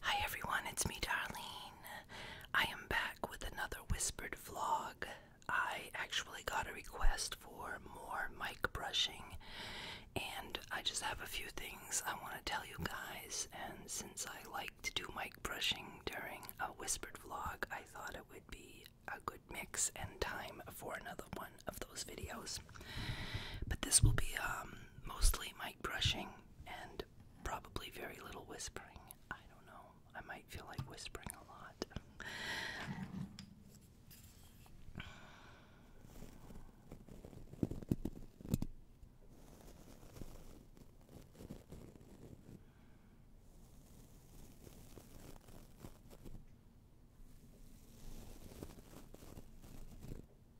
Hi everyone, it's me, Darlene. I am back with another whispered vlog. I actually got a request for more mic brushing, and I just have a few things I want to tell you guys. And since I like to do mic brushing during a whispered vlog, I thought it would be a good mix and time for another one of those videos. But this will be um, mostly mic brushing and probably very little whispering. I don't know. I might feel like whispering a lot.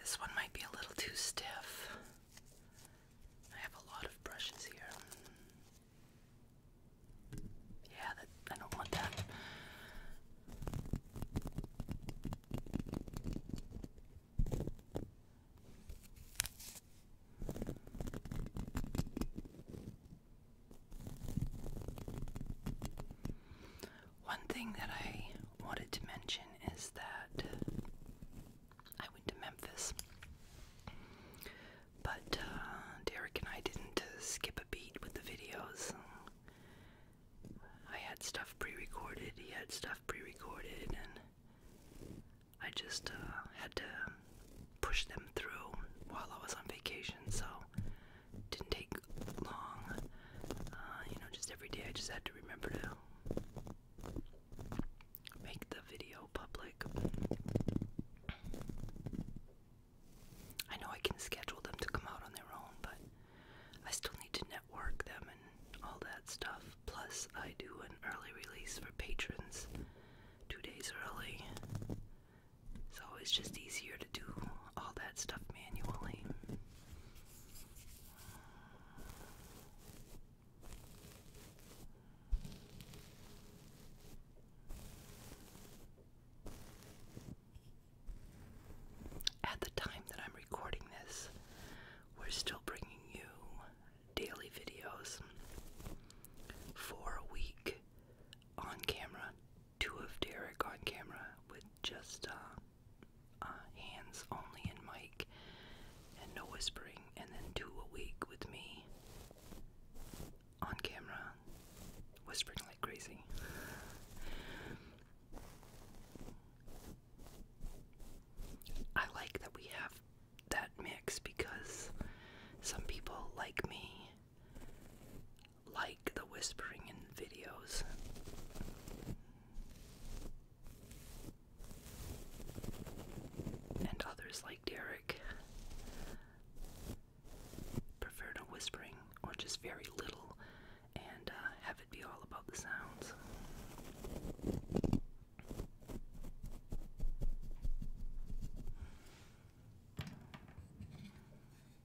This one might be a little too stiff. I have a lot of brushes here. Yeah, I don't want that. One thing that I wanted to mention is that I went to Memphis, but uh, Derek and I didn't uh, skip a beat with the videos. I had stuff pre recorded, he had stuff pre recorded, and I just uh, had to push them through while I was on vacation, so didn't take long. Uh, you know, just every day I just had to remember to make the video public. I know I can schedule them to come out on their own, but I still need to network them and all that stuff. Plus, I do an early release for patrons two days early. It's always just easier to do all that stuff manually. At the time that I'm recording this, we're still bringing you daily videos for a week on camera two of Derek on camera with just uh, uh hands only and Mike, and no whispering, and then two a week with me on camera whispering like crazy. I like that we have that mix because some people like me like the whispering in videos. And others, like Derek, prefer no whispering or just very little and uh, have it be all about the sounds.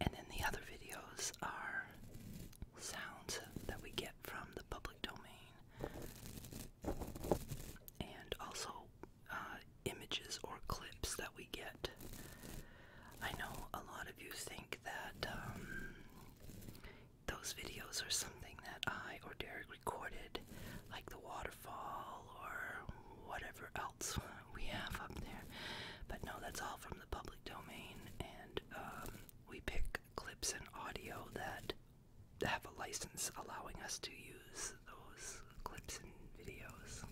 And then the other videos are sounds that we get from the public domain and also uh, images or clips that we get. I know a lot of you think that um, those videos are something that I or Derek recorded, like the waterfall or whatever else we have up there. But no, that's all from the public domain, and um, we pick clips and audio that have a license allowing us to use those clips and videos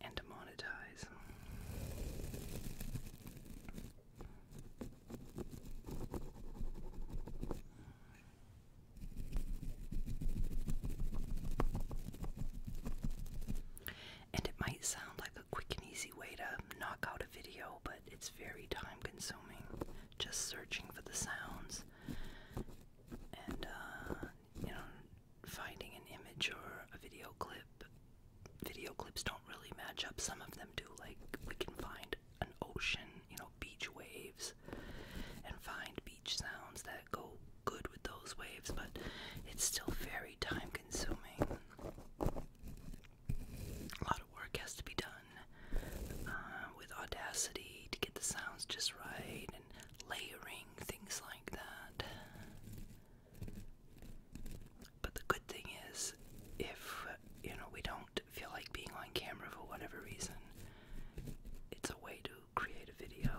and to monetize. And it might sound like a quick and easy way to knock out a video, but it's very time consuming. Just searching for the sounds and, uh, you know, finding an image or a video clip video clips don't really match up. Some of them do. Like we can find an ocean, you know, beach waves, and find beach sounds that go good with those waves, but it's still very time consuming. A lot of work has to be done uh, with Audacity to get the sounds just right and layering things like that. But the good thing is, if you know we don't feel like being on camera for whatever reason, it's a way to create a video.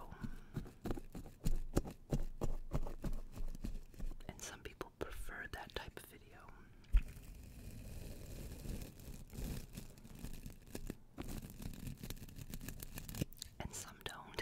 And some people prefer that type of video. And some don't.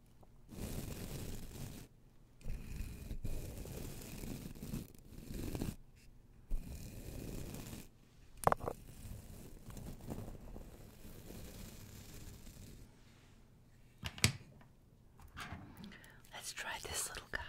Let's try this little guy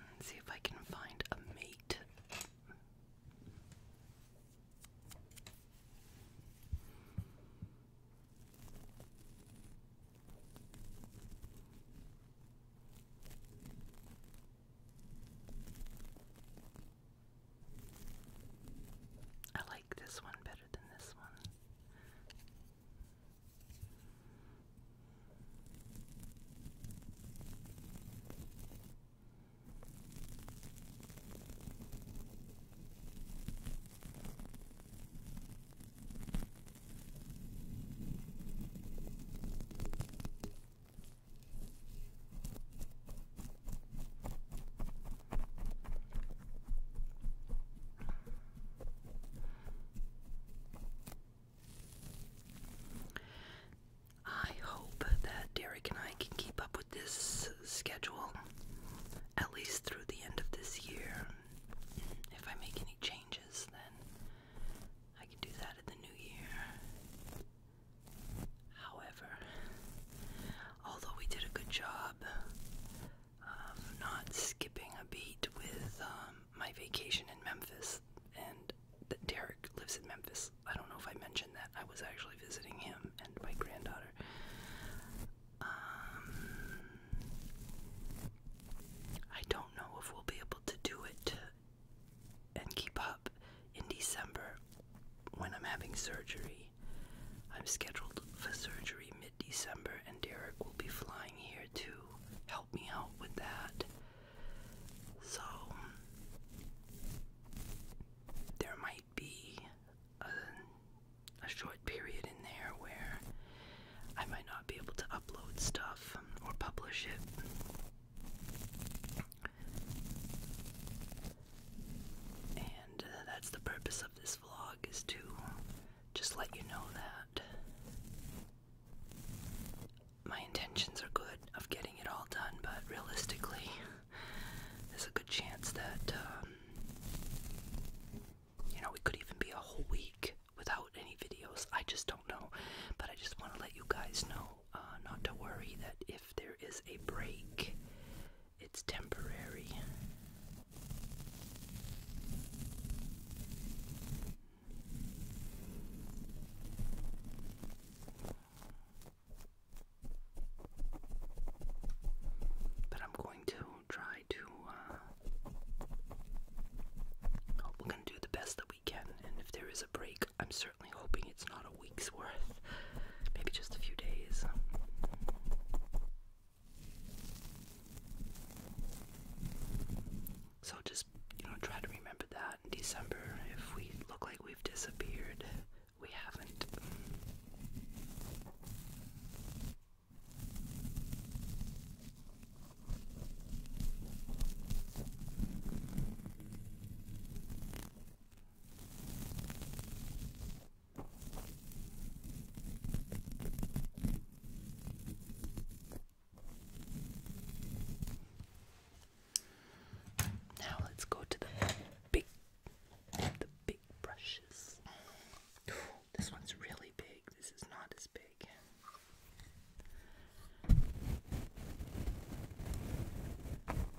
let see if I can find a mate. I like this one better than this one. I hope that Derek and I can keep up with this schedule at least through the end of this year. If I make any changes, then I can do that in the new year. However, although we did a good job of um, not skipping a beat with um, my vacation in Memphis. And that Derek lives in Memphis. I don't know if I mentioned that. I was actually visiting him and my granddaughter. Um, I don't know if we'll be able to do it and keep up in December when I'm having surgery. I'm scheduled for surgery mid December, and Derek will be flying here to help me out with that. So, there might be a, a short period in there where I might not be able to upload stuff or publish it. And uh, that's the purpose of this vlog is to just let you know that my intentions are good of getting it all done, but realistically, there's a good chance that um, you know we could even be a whole week without any videos. I just don't know, but I just want to let you guys know uh, not to worry that if there is a break it's temporary. But I'm going to try to, uh, we're going to do the best that we can. And if there is a break, I'm certainly hoping it's not week's worth, maybe just a few days. So just, you know, try to remember that in December. If we look like we've disappeared, we haven't. Now let's go to the big, the big brushes. this one's really big. This is not as big.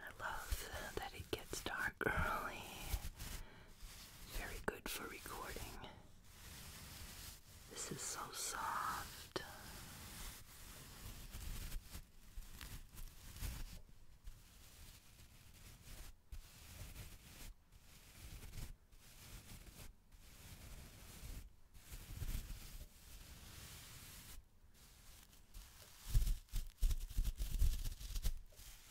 I love that it gets dark are Very good for recording. This is so soft.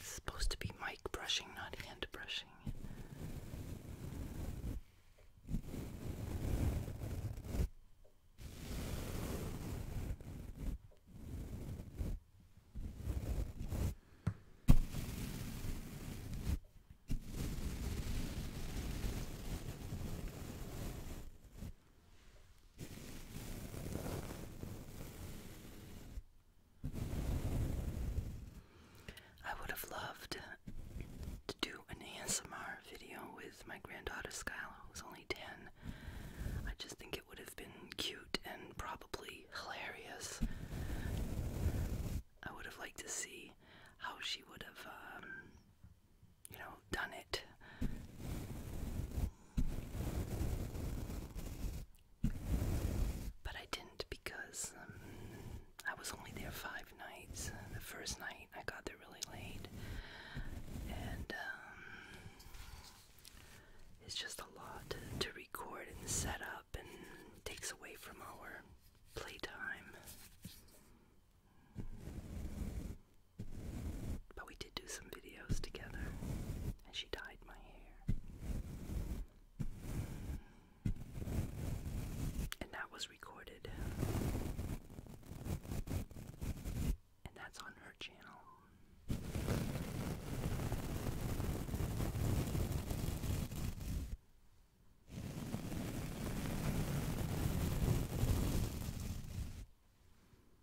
It's supposed to be Mike brushing, not hand brushing. I would have loved to do an ASMR video with my granddaughter Skylar, who's only 10. I just think it would have been cute and probably hilarious. I would have liked to see how she would have, um, you know, done it. But I didn't because um, I was only there five nights. The first night I got there really late, and um, it's just a lot to, to record and set up, and takes away from our playtime. But we did do some videos together. And she dyed my hair. And that was recorded. And that's on her channel.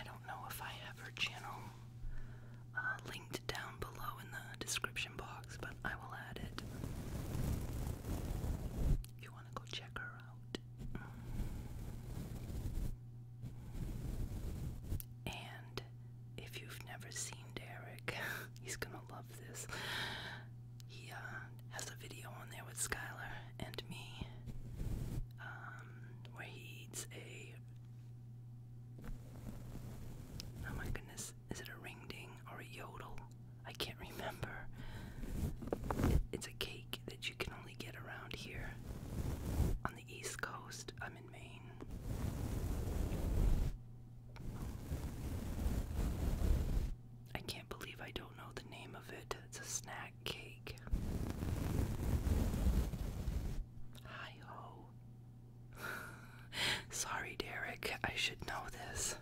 I don't know if I have her channel uh, linked down below in the description box, but I will add it if you want to go check her out. And if you've never seen Derek, he's gonna love this. He uh, has a video on there with Skylar and me um, where he eats a. Oh my goodness, is it a ring ding or a yodel? I can't remember. It's a cake that you can only get around here on the East Coast. I'm in Maine. I can't believe I don't know the name of it. It's a snack cake. Hi ho. Sorry, Derek. I should know this.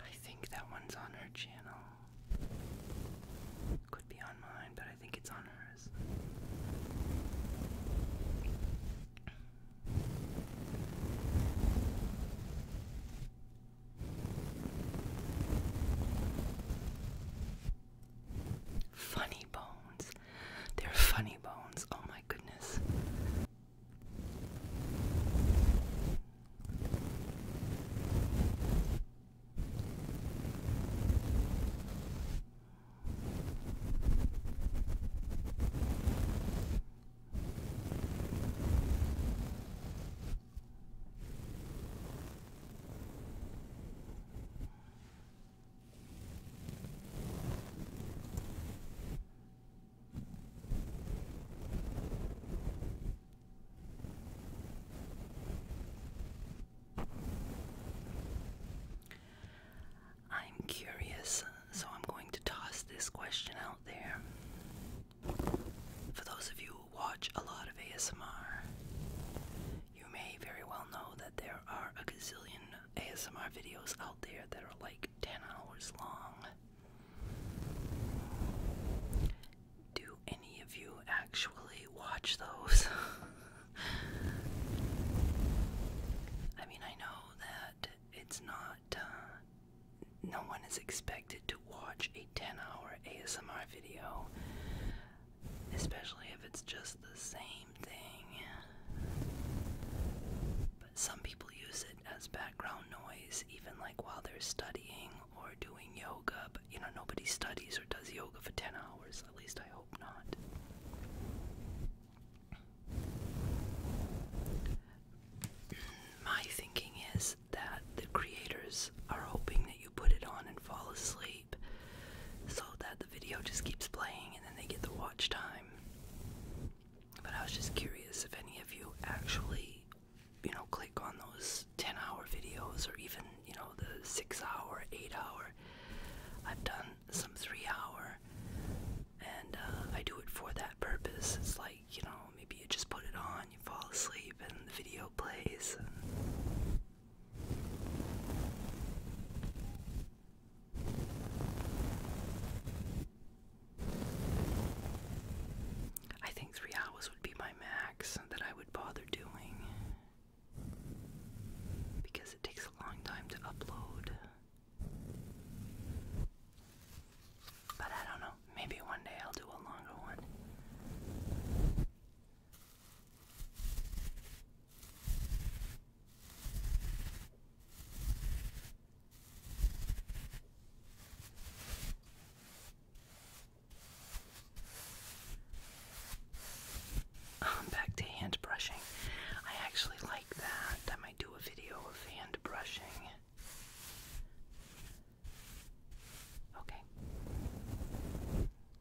I think that one's on her channel. Could be on mine, but I think it's on hers. Funny bones. They're funny bones. Oh my goodness. I'm curious, so I'm going to toss this question out there. For those of you who watch a lot of ASMR, you may very well know that there are a gazillion ASMR videos out there that are like 10 hours long. Do any of you actually watch those? I mean, I know that it's not. Uh, no one is expected to watch a 10 hour ASMR video especially if it's just the same thing. But some people use it as background noise, even like while they're studying or doing yoga. you know, nobody studies or does yoga for 10 hours, at least I hope not. My thinking is that the creators are hoping that you put it on and fall asleep so that the video just keeps playing and then they get the watch time. But I was just curious if any of you actually, you know, click on those 10 hour videos or even, you know, the 6 hour, 8 hour. I've done some 3 hour and uh, I do it for that purpose. It's like, you know, maybe you just put it on, you fall asleep, and the video plays. I think three hours would be my max that I would bother doing because it takes a long time to upload. But I don't know, maybe one day I'll do a longer one. Um, back to hand brushing. I actually like that. I might do a video of hand brushing. Okay.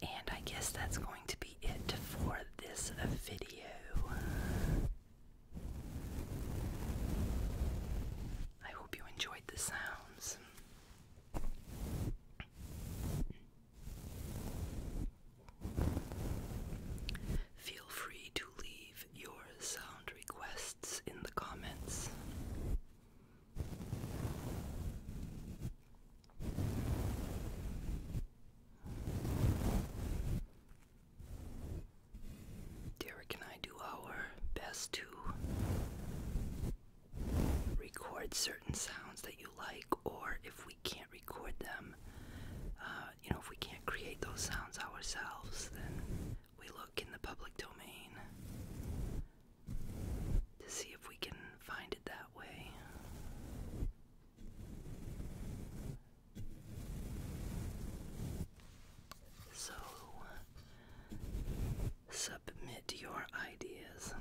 And I guess that's going to be it for this video. I hope you enjoyed the sounds. Feel free to leave your sound requests in the comments. Derek and I do our best to record certain sounds that you like, or if we can't record them. Uh, you know, if we can't create those sounds ourselves, then we look in the public domain to see if we can find it that way. So, submit your ideas.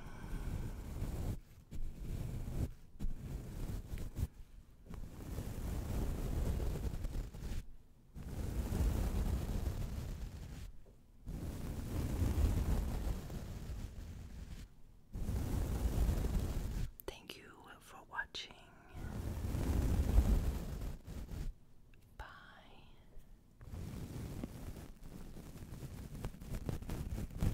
Thank you for watching. Bye.